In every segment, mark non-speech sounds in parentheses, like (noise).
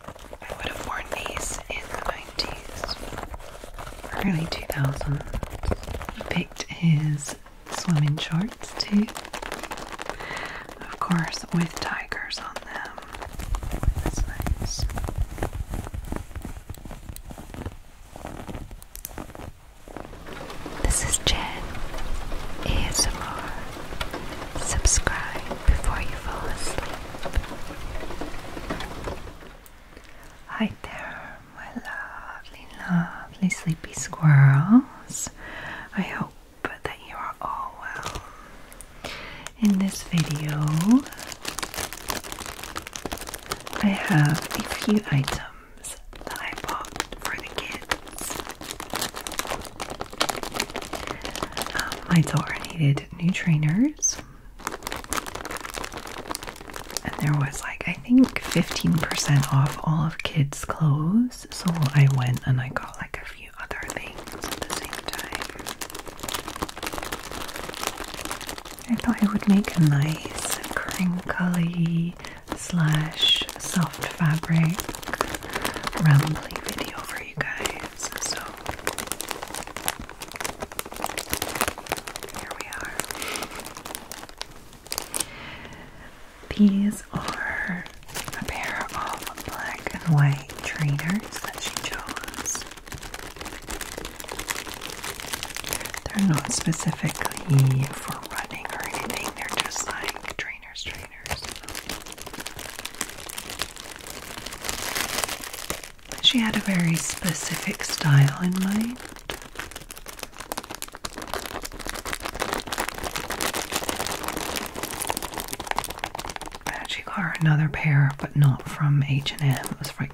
I would have worn these in the 90s, early 2000s. He picked his swimming shorts too, of course, with tigers on them. This is Jen ASMR. Subscribe before you fall asleep. Hi there, my lovely, lovely sleepy squirrels. I hope that you are all well. In this video, I have a few items that I bought for the kids my um, daughter needed new trainers, and there was like I think 15% off all of kids' clothes, so I went and I got like a few other things at the same time. I thought I would make a nice crinkly slash soft fabric rambly video for you guys. So here we are. These are a pair of black and white trainers that she chose. They're not specifically for running or anything, they're just like trainers. She had a very specific style in mind. Actually, got another pair, but not from H and M. It was like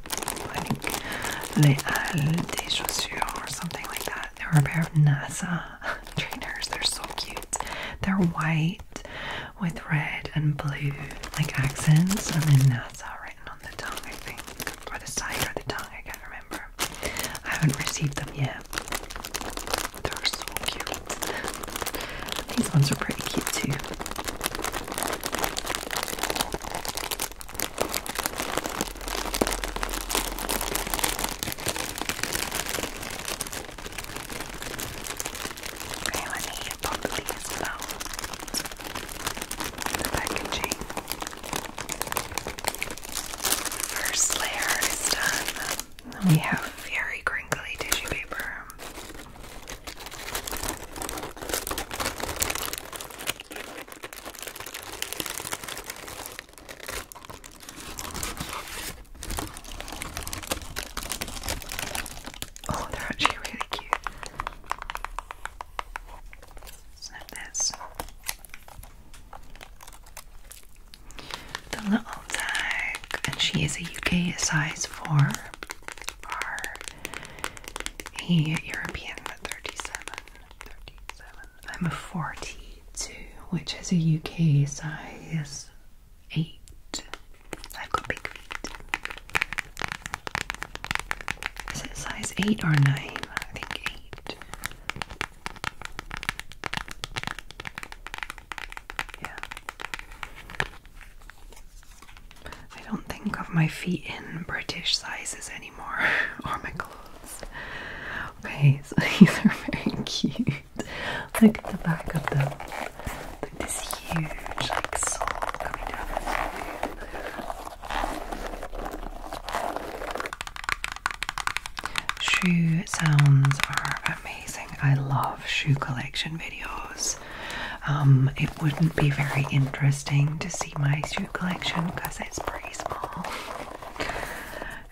I think Les or something like that. They are a pair of NASA (laughs) trainers. They're so cute. They're white with red and blue like accents and then that's all written on the tongue I think or the side or the tongue I can't remember I haven't received them yet they're so cute these ones are pretty cute too I want to eat properly as The packaging. First layer is done. We have very crinkly tissue paper. Oh, they're actually really cute. Snip this. The little tag, and she is a UK size 4 or a European 37. I'm a 42, which is a UK size eight. I've got big feet. Is it size eight or nine? I think eight. Yeah. I don't think of my feet in British sizes anymore, (laughs) or my clothes. Okay, so (laughs) these are very cute. Look (laughs) at the back of them. Like this huge like soul coming down Shoe sounds are amazing. I love shoe collection videos. Um, it wouldn't be very interesting to see my shoe collection because it's pretty small.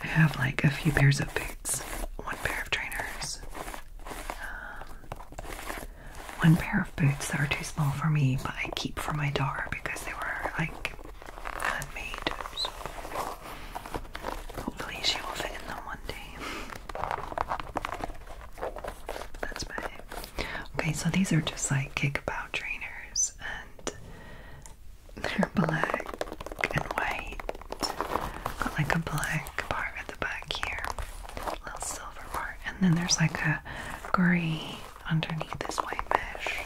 I have like a few pairs of boots, one pair of trainers, um, one pair of boots that are too small for me, but I keep for my daughter because they were like handmade. So hopefully, she will fit in them one day. That's my okay. So these are just like kickabout trainers and. They're black and white, Got like a black part at the back here, little silver part, and then there's like a gray underneath this white mesh.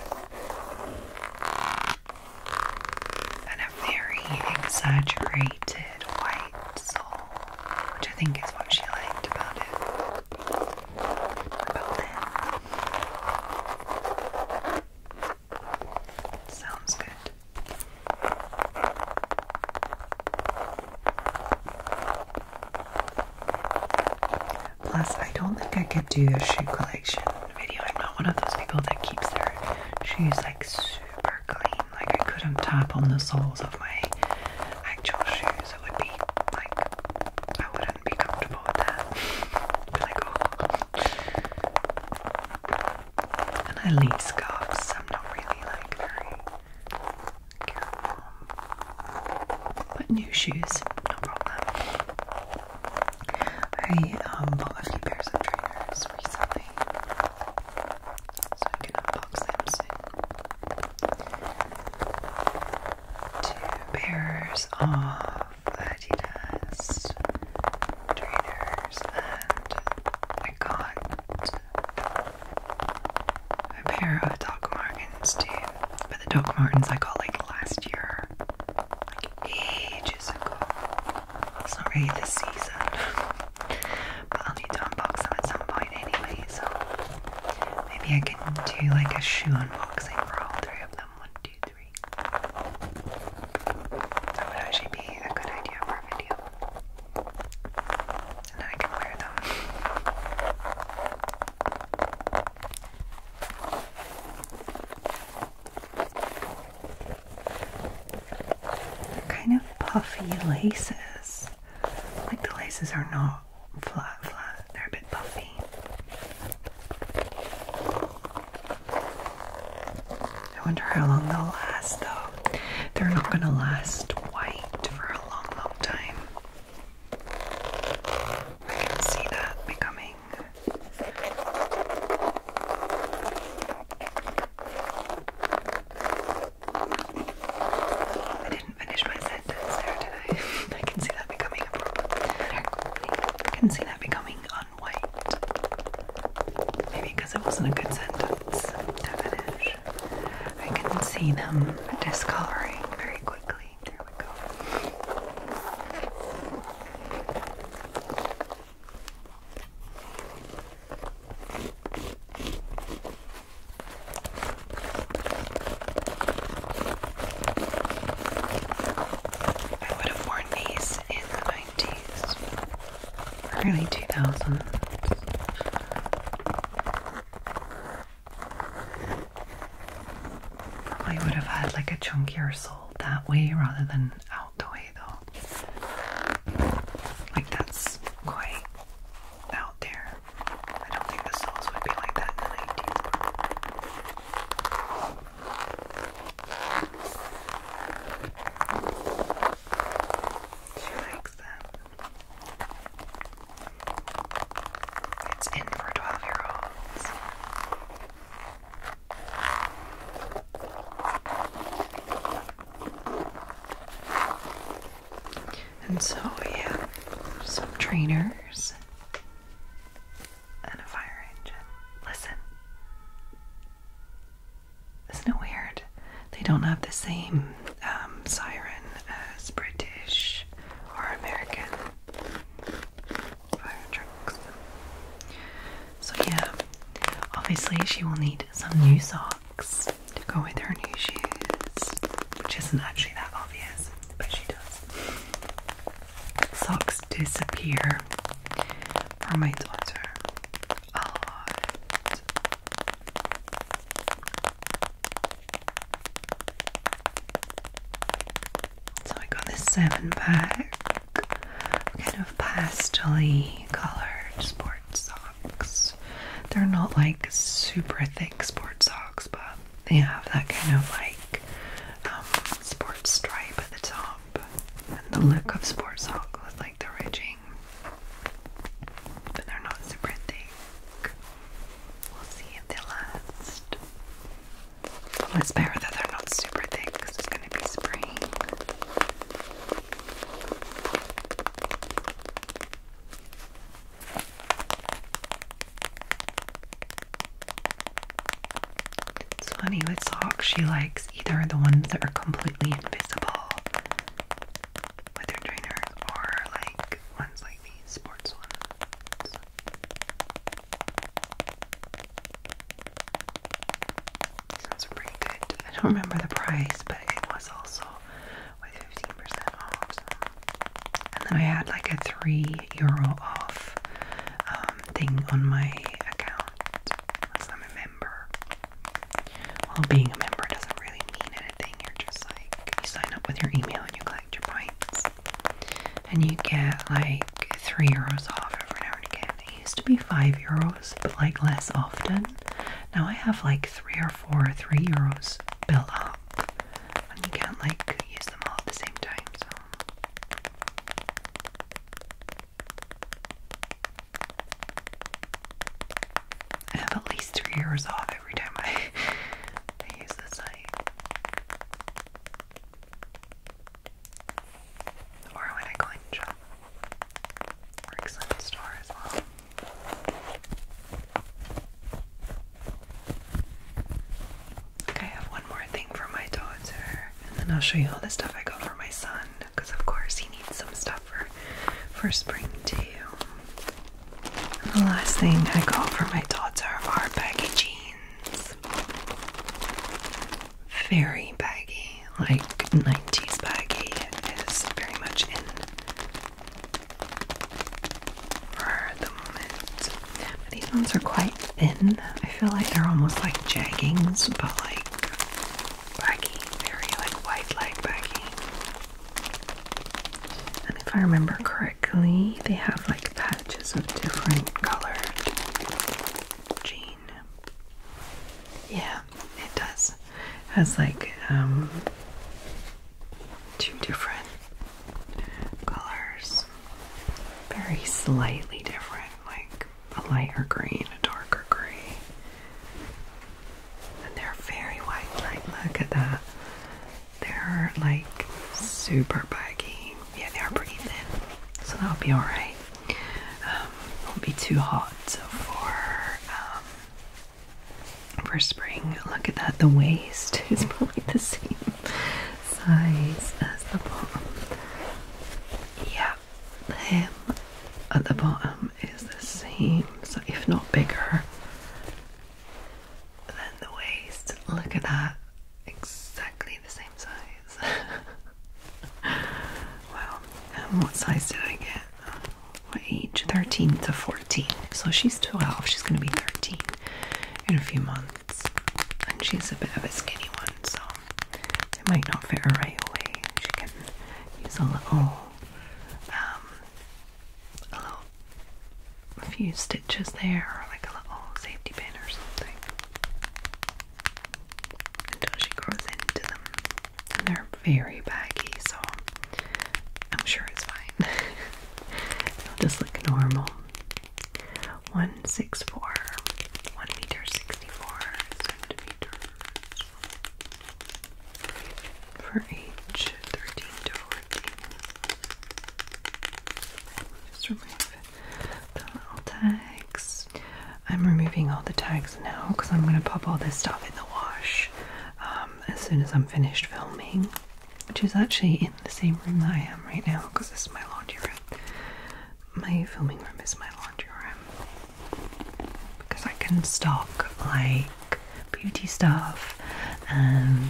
And a very exaggerated white sole, which I think is what she liked about it. About it. Sounds good. Plus, I don't think I could do a shoe collection video. I'm not one of those people that keeps their shoes like super clean. Like, I couldn't tap on the soles of my actual shoes. It would be like, I wouldn't be comfortable with that. (laughs) be like, oh. And I leave scarves, I'm not really like very careful. But new shoes, no problem. I um, bought a few pairs of trainers recently, so I can unbox them soon. Two pairs of that trainers and I got a pair of Doc Martens too. But the Doc Martins I got like last year. Like ages ago. It's not really this season. but I'll need to unbox them at some point anyway, so maybe I can do like a shoe unboxing for all three of them. One, two, three. That would actually be a good idea for a video. And then I can wear them. They're kind of puffy laces. Like the laces are not flat, flat. They're a bit puffy. I wonder how long they'll last though. They're not gonna last white for a long, long time. I can see that becoming I didn't finish my sentence there, did I? (laughs) I can see that becoming a problem. I can see that becoming on white. Maybe because it wasn't a good sentence I can see them discoloring very quickly. There we go. I would have worn these in the 90s, early 2000s. Probably would have had like a chunkier sole that way rather than out the way though. Like that's quite out there. I don't think the soles would be like that in the 90s. She likes them. It's in for 12 year olds. And so, yeah, some trainers and a fire engine. Listen. Isn't it weird? They don't have the same um, siren as British or American fire trucks. So, yeah, obviously, she will need some new socks to go with her new shoes, which isn't actually that obvious, but she does socks disappear for my daughter a lot. So I got this seven pack kind of pastely colored sport socks. They're not like super thick sport socks, but they have that kind of like um, sports stripe at the top and the look of sports sock like the ridging. But they're not super thick. We'll see if they last. Let's bear that they're not super thick it's going to be spring. It's funny with socks, she likes either the ones that are completely invisible with her trainers or like ones like these sports ones. Those pretty good. I don't remember the price, but it was also with 15% off. And then I had like a 3 euro off um, thing on my account I'm a member. Well, being a member doesn't really mean anything. You're just like, you sign up with your email and you collect your points. And you get like 3 euros off every now and again. It used to be 5 euros, but like less often. Now I have like 3 or 4 3 euros built up. And you can't like use them all at the same time, so I have at least three hours off every time (laughs) I, use the site. Or when I go and shop. Works in the store as well. Okay, I have one more thing for my daughter, and then I'll show you all the stuff I got for my son, because of course he needs some stuff for for spring too. the last thing I got for my daughter are baggy jeans. Very baggy, like 90s baggy is very much in for the moment. But these ones are quite thin. I feel like they're almost like jeggings, but like baggy, very like wide leg baggy. And if I remember correctly, they have like patches of different colored jean. Yeah, it does. has like um, two different colors very slightly different, like a lighter green, a darker gray. And they're very white, like look at that. They're like super baggy. Yeah, they are pretty thin, so that'll be alright. Um, won't be too hot for um, for spring. Look at that. The waist (laughs) is probably the same size as the bottom. Yeah, the hem at the bottom is the same, so if not bigger than the waist. Look at that, exactly the same size. (laughs) well, what size did I get? What uh, age? 13 to 14. So she's 12, she's going to be 13 in a few months and she's a bit of a skinny one, so it might not fit her right away. She can use a little, um, a little, a few stitches there, or like a little safety pin or something, until she grows into them. And they're very baggy, so I'm sure it's fine. (laughs) They'll just look normal. 164, 1 meter 64 centimeters for age 13 to 14. Just remove the little tags. I'm removing all the tags now because I'm going to pop all this stuff in the wash um, as soon as I'm finished filming, which is actually the same room that I am right now because this is my laundry room. My filming room is my laundry room because I can stock like beauty stuff and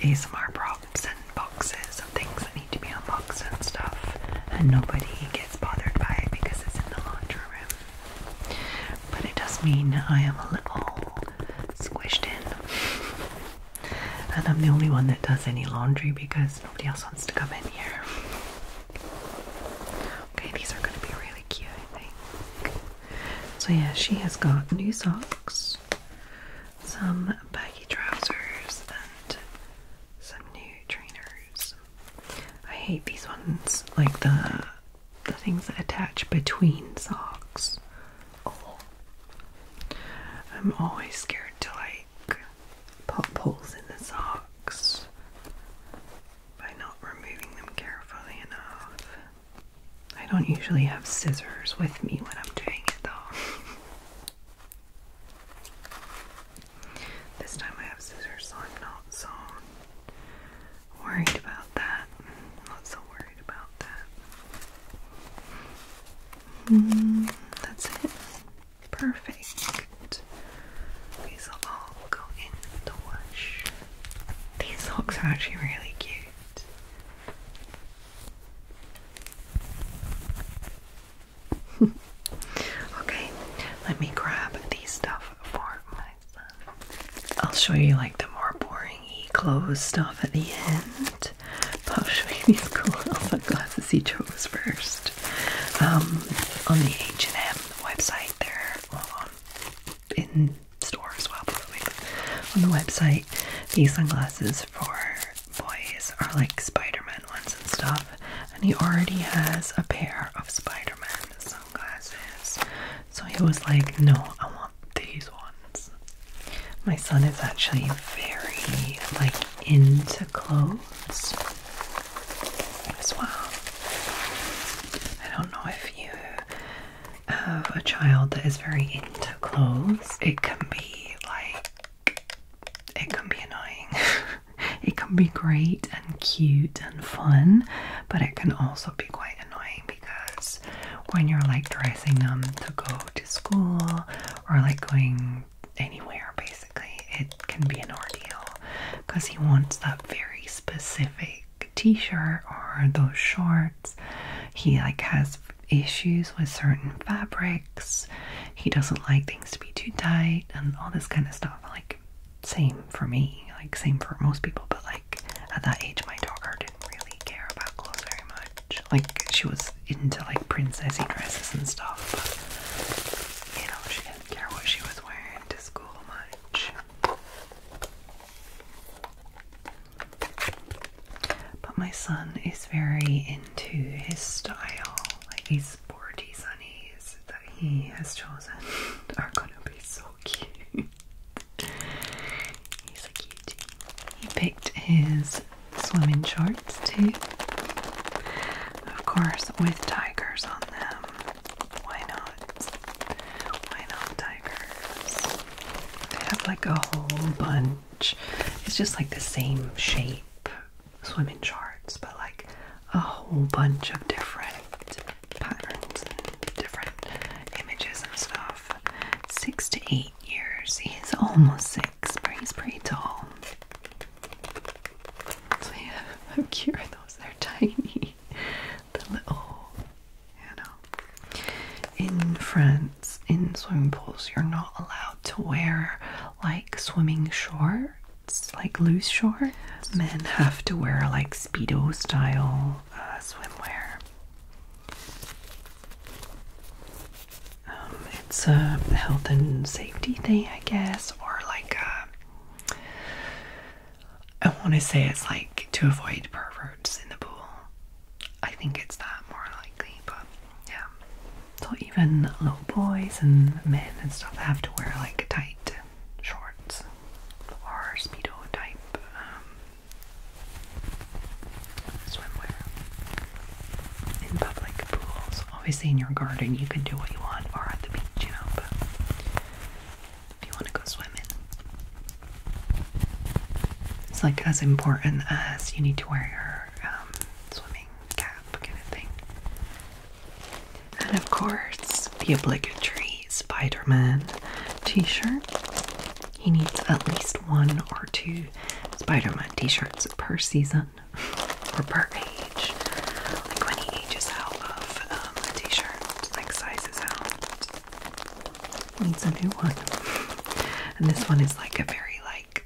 ASMR props and boxes and things that need to be unboxed and stuff, and nobody gets bothered by it because it's in the laundry room. But it does mean I am a little squished in. And I'm the only one that does any laundry because nobody else wants to come in here. Okay, these are going to be really cute, I think. So, yeah, she has got new socks, some baggy trousers, and some new trainers. I hate these ones, like the the things that attach between socks. Oh. I'm always scared to like put holes in the socks by not removing them carefully enough. I don't usually have scissors with me when I'm doing it though. this time I have scissors, so I'm not so worried about that. I'm not so worried about that that's it. Perfect. These will all go in the wash. These socks are actually really cute. (laughs) okay, let me grab the stuff for my I'll show you like the more boring stringy clothes stuff at the end. Pop Schweeney's (laughs) cool sunglasses he chose first. Um, on the H&M website, they're in stores, as well on the website, these sunglasses for boys are like Spider-Man ones and stuff. And he already has a pair of Spider-Man sunglasses. So he was like, no, I want these ones. My son is actually very like into clothes as well. I don't know if you have a child that is very into clothes. It can be like it can be annoying. (laughs) it can be great and cute and fun, but it can also be quite annoying because when you're like dressing them to go to school or like going anywhere basically, it can be an ordeal because he wants that very specific t-shirt or those shorts. He like has issues with certain fabrics. He doesn't like things to be too tight and all this kind of stuff. Like same for me, like same for most people, but like at that age my daughter really care about clothes very much. Like she was into like princessy dresses and stuff, but you know, she didn't care what she was wearing to school much. But my son is very into his style, like these sporty sunnies that he has chosen (laughs) are gonna be so cute. (laughs) He's a cutie. He picked his swimming shorts too. Of course, with tigers on them. Why not? Why not tigers? They have like a whole bunch. It's just like the same shape swimming shorts, but like a whole bunch of different patterns and different images and stuff. Six to eight years. He's almost six, but he's pretty tall. how cute (laughs) are those? They're tiny. The little, you know. In France, in swimming pools, you're not allowed to wear like swimming shorts, like loose shorts. Men have to wear like speedo style uh, swimwear. Um, it's a health and safety thing, I guess, or like uh, I want to say it's like to avoid perverts in the pool. I think it's that more likely, but yeah. So even little boys and men and stuff have to wear like tight shorts or speedo type um, swimwear in public pools. Obviously, in your garden, you can do what you want, or at the beach, you know. But if you want to go swimming, it's like as important as you need to wear your um, swimming cap kind of thing. And of course, the obligatory Spider Man t shirt. He needs at least one or two Spider Man t shirts per season (laughs) or per age. Like when he ages out of um, a t shirt, like sizes out, needs a new one. (laughs) And this one is like a very, like,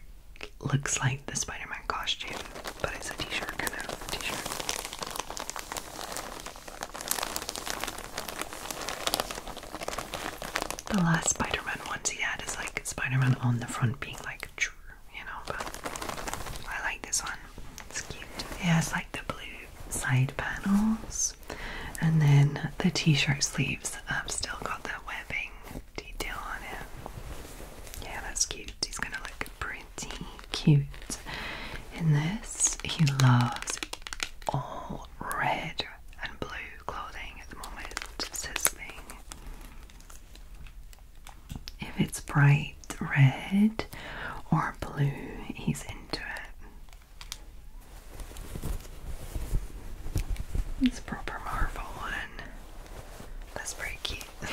looks like the Spider Man costume, but it's a t shirt kind of t shirt. The last Spider-Man ones he had is like Spider-Man on the front being like, you know, but I like this one. It's cute. It has like the blue side panels, and then the t-shirt sleeves have still got that webbing detail on it. Yeah, that's cute. He's gonna look pretty cute in this. He loves all red and blue clothing at the moment, says thing. If it's bright red or blue, he's into it. It's proper Marvel one. That's pretty cute. (laughs)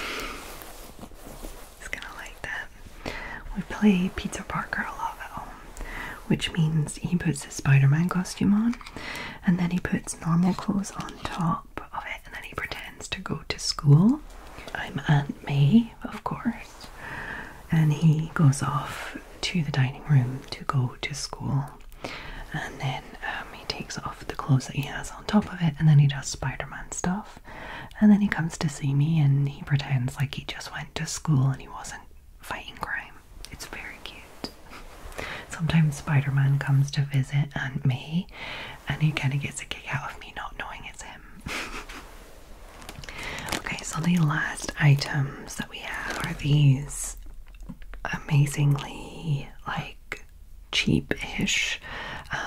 He's gonna like that. We play Pizza Parker a lot at home which means he puts his Spider Man costume on and then he puts normal clothes on top of it and then he pretends to go to school. I'm Aunt May, of course, and he goes off to the dining room to go to school and then um, he takes off the clothes that he has on top of it and then he does Spider-Man stuff and then he comes to see me and he pretends like he just went to school and he wasn't fighting crime it's very cute. Sometimes Spider Man comes to visit and me, and he kind of gets a kick out of me not knowing it's him. (laughs) okay, so the last items that we have are these amazingly like cheapish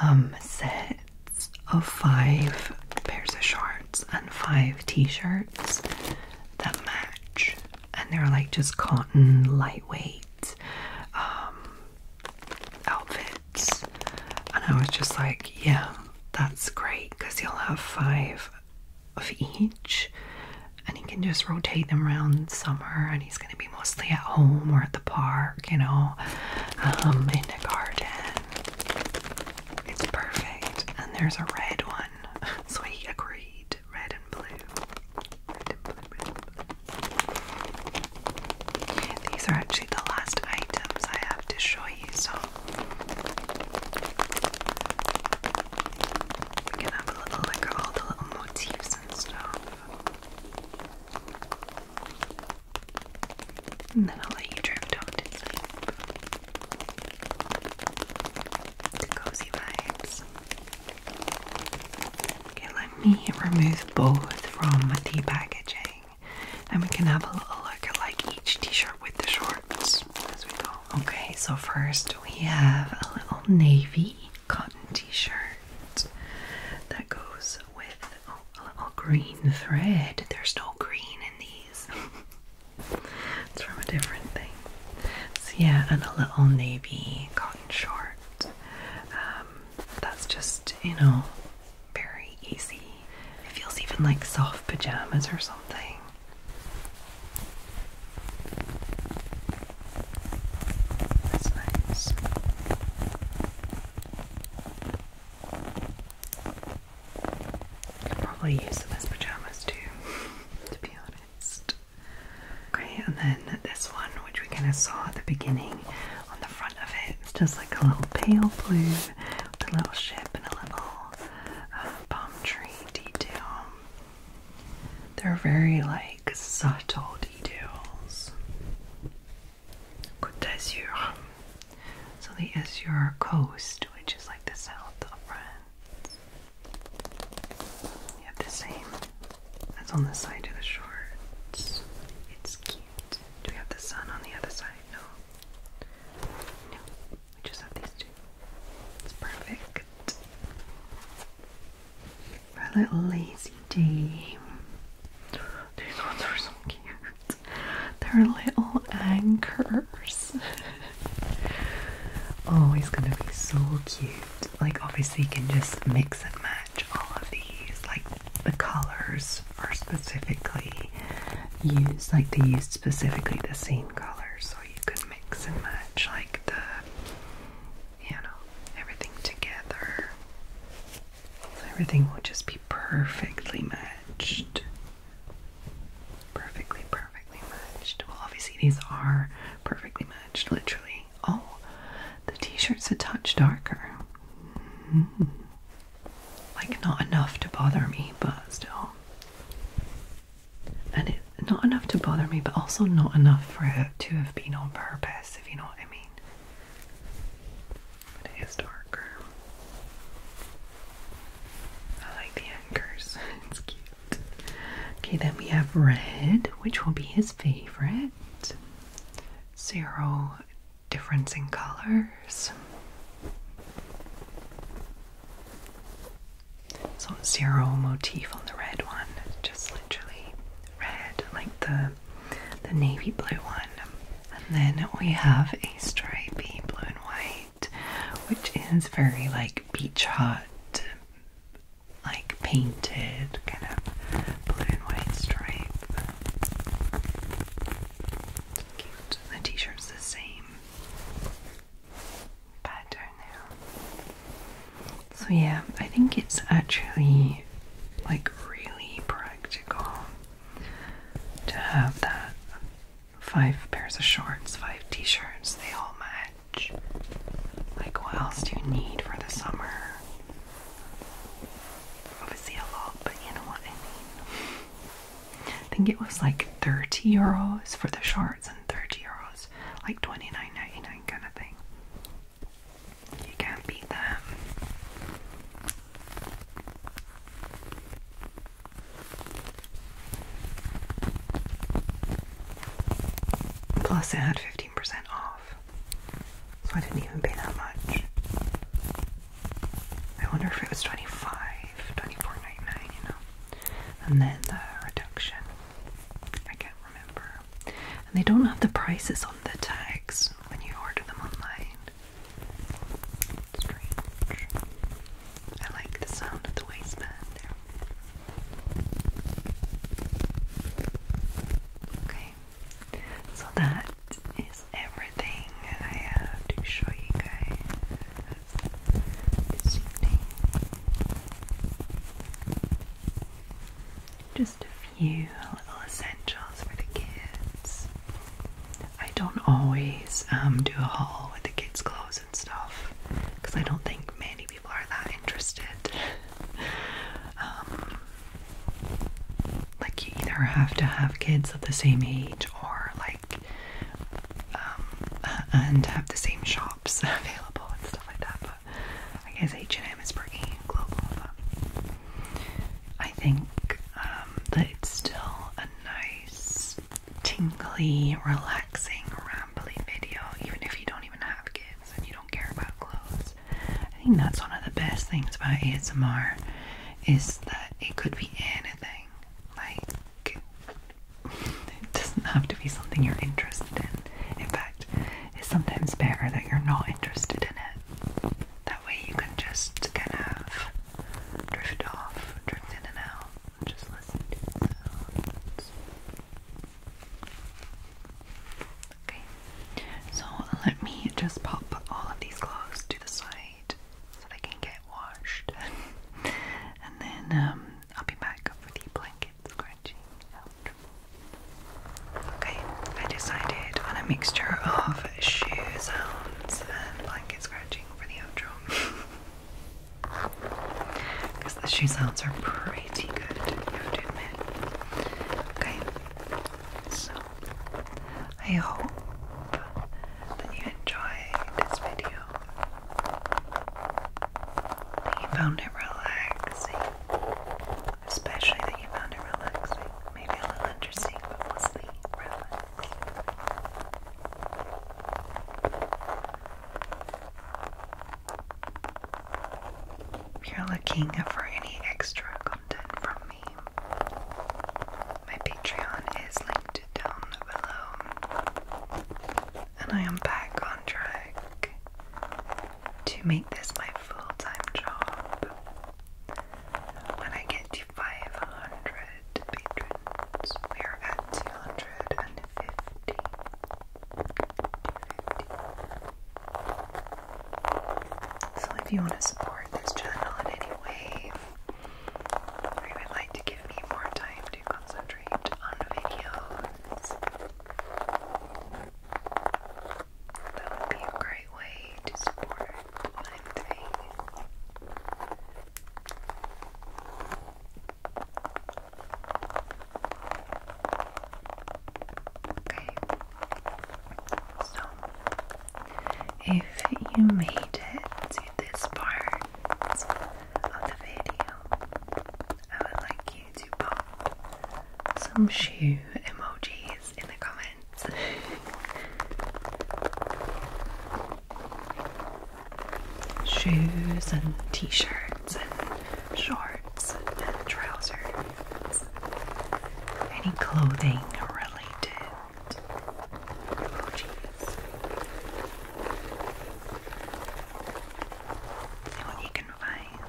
um, sets of five pairs of shorts and five t shirts that match. And they're like just cotton, lightweight um, outfits. And I was just like, yeah, that's great because you'll have five of each. And he can just rotate them around summer, and he's going to be mostly at home or at the park, you know, um, in the garden. It's perfect. And there's a red one one. (laughs) So he agreed. Red and blue. red and blue. These are actually the last items I have to show you, so we can have a little look at all the little motifs and stuff. And then I'll let you drift off to sleep. The cozy vibes. Okay, let me remove both from the packaging and we can have a little look at like each t-shirt with the shorts as we go. Okay, so first we have a little navy cotton t-shirt that goes with oh, a little green thread. There's no green in these. (laughs) It's from a different thing. So yeah, and a little navy cotton short. Um, that's just, you know, very easy. It feels even like soft pajamas or something. That's nice. I Could probably use them as pajamas too, (laughs) to be honest. Okay, and then this one, which we kind of saw at the beginning on the front of it, it's just like a little pale blue with a little ship and a little uh, palm tree detail. They're very like subtle details. Côte d'Azur. So the Azure coast, which is like the south of France. You have the same as on the side of the shore. It's, cute. Do we have the sun on the other side? No. No. We just have these two. It's perfect. For little lazy day. These ones are so cute. (laughs) They're little anchors. oh, he's (laughs) gonna be so cute. Like, obviously, you can just mix and match all of these. Like, the colors are specifically used, like, they used specifically the same colors, so you could mix and match, like, the you know, everything together. everything will just be perfectly matched. Perfectly, perfectly matched. Well, obviously, these are perfectly matched, literally. Oh, the t shirt's a touch darker. Hmm. Like, not enough to bother me, but still. And it, not enough to bother me, but also not enough for it to have been on purpose, if you know what I mean. But it is dark. I like the anchors, (laughs) it's cute. Okay, then we have red, which will be his favorite. Zero difference in colors. So, zero motif on the red one, just literally red, like the, the navy blue one. And then we have a stripey blue and white which is very like beach hut, like painted kind of blue and white stripe. Cute. The t-shirt's the same pattern now. So yeah, I think it's actually like really practical to have that five pairs of shorts, five t shirts, they all match. Like, what else do you need for the summer? Obviously, a lot, but you know what I mean. I think it was like 30 euros for the shorts and 30 euros, like 29.99 kind of thing. You can't beat that. Plus, it had 15% off, so I didn't even pay that much. I wonder if it was 25 24 you know. And then the reduction. I can't remember. And they don't have the prices on the tags when you order them online. Strange. I like the sound of the waistband there. Okay, so that is everything I have to show you guys Just a few little essentials for the kids. I don't always um, do a haul with the kids' clothes and stuff because I don't think many people are that interested. (laughs) Um, like you either have to have kids of the same age or like um, and have the same shops (laughs) available and stuff like that. But I guess H and M is pretty global. But I think that it's still a nice tingly, relaxing, rambling video, even if you don't even have kids and you don't care about clothes. I think that's one of the best things about ASMR is that it could be anything. Like, it doesn't have to be something you're interested in. In fact, it's sometimes better that you're not interested in it. That way you can just kind of drift off, drift in and out, and just listen to the sounds. Okay, so let me just pop all of these clothes to the side so they can get washed. (laughs) and then um, I'll be back for the blanket scratching out. Okay, I decided on a mixture of shoe sounds and blanket pocket scratching over the outro. Because the shoe sounds are pretty good, Okay, so I hope that you enjoyed this video. That you found it relaxing. Especially that you found it relaxing maybe a little interesting, If you're looking for any extra content from me, Patreon is linked down below, and I am back on track to make this my full time job. When I get to 500 patrons, we are at 250. So if you want to support this channel in any way, or you would like to give me more time to concentrate on videos, that would be a great way to support I'm doing okay. So, if you made it to this part of the video, I would like you to pop some shoe emojis in the comments. Shoes and t shirts and shorts and trousers. Any clothing related. Oh, jeez. What you can find.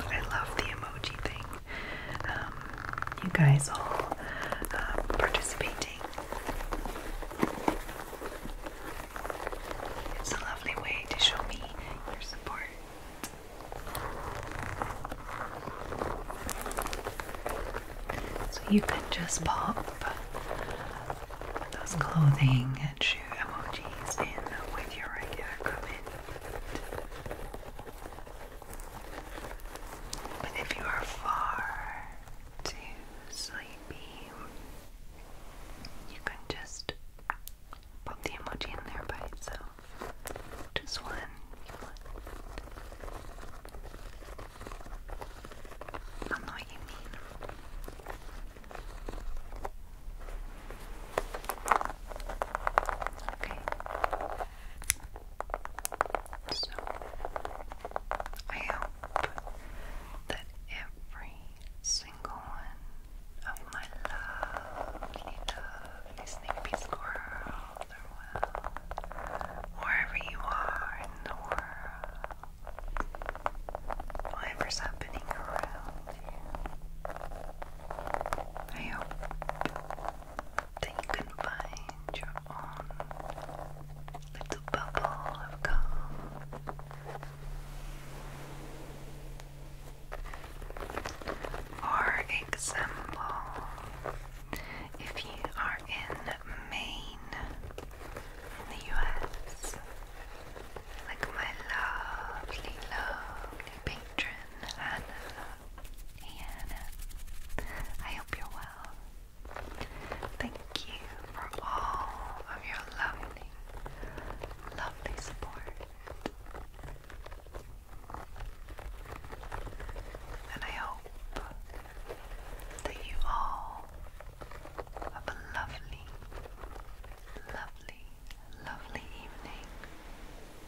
I love the emoji thing. Um, you guys all uh, participating. It's a lovely way to show me your support. So you can just pop those clothing and shoe emojis in with your regular comment. And if you are far too sleepy, you can just pop the emoji in there by itself. Just one. one. I don't know what you mean. Okay. So I hope that every single one of my lovely, lovely Snippy squirrels are wherever you are in the world, whatever's happening around you. I hope then you can find your own little bubble of calm. For example, if you are in Maine, in the US, like my lovely, lovely patron Hannah and uh, I hope you're well. Thank you for all of your lovely, lovely support. And I hope that you all have a lovely, lovely, lovely evening.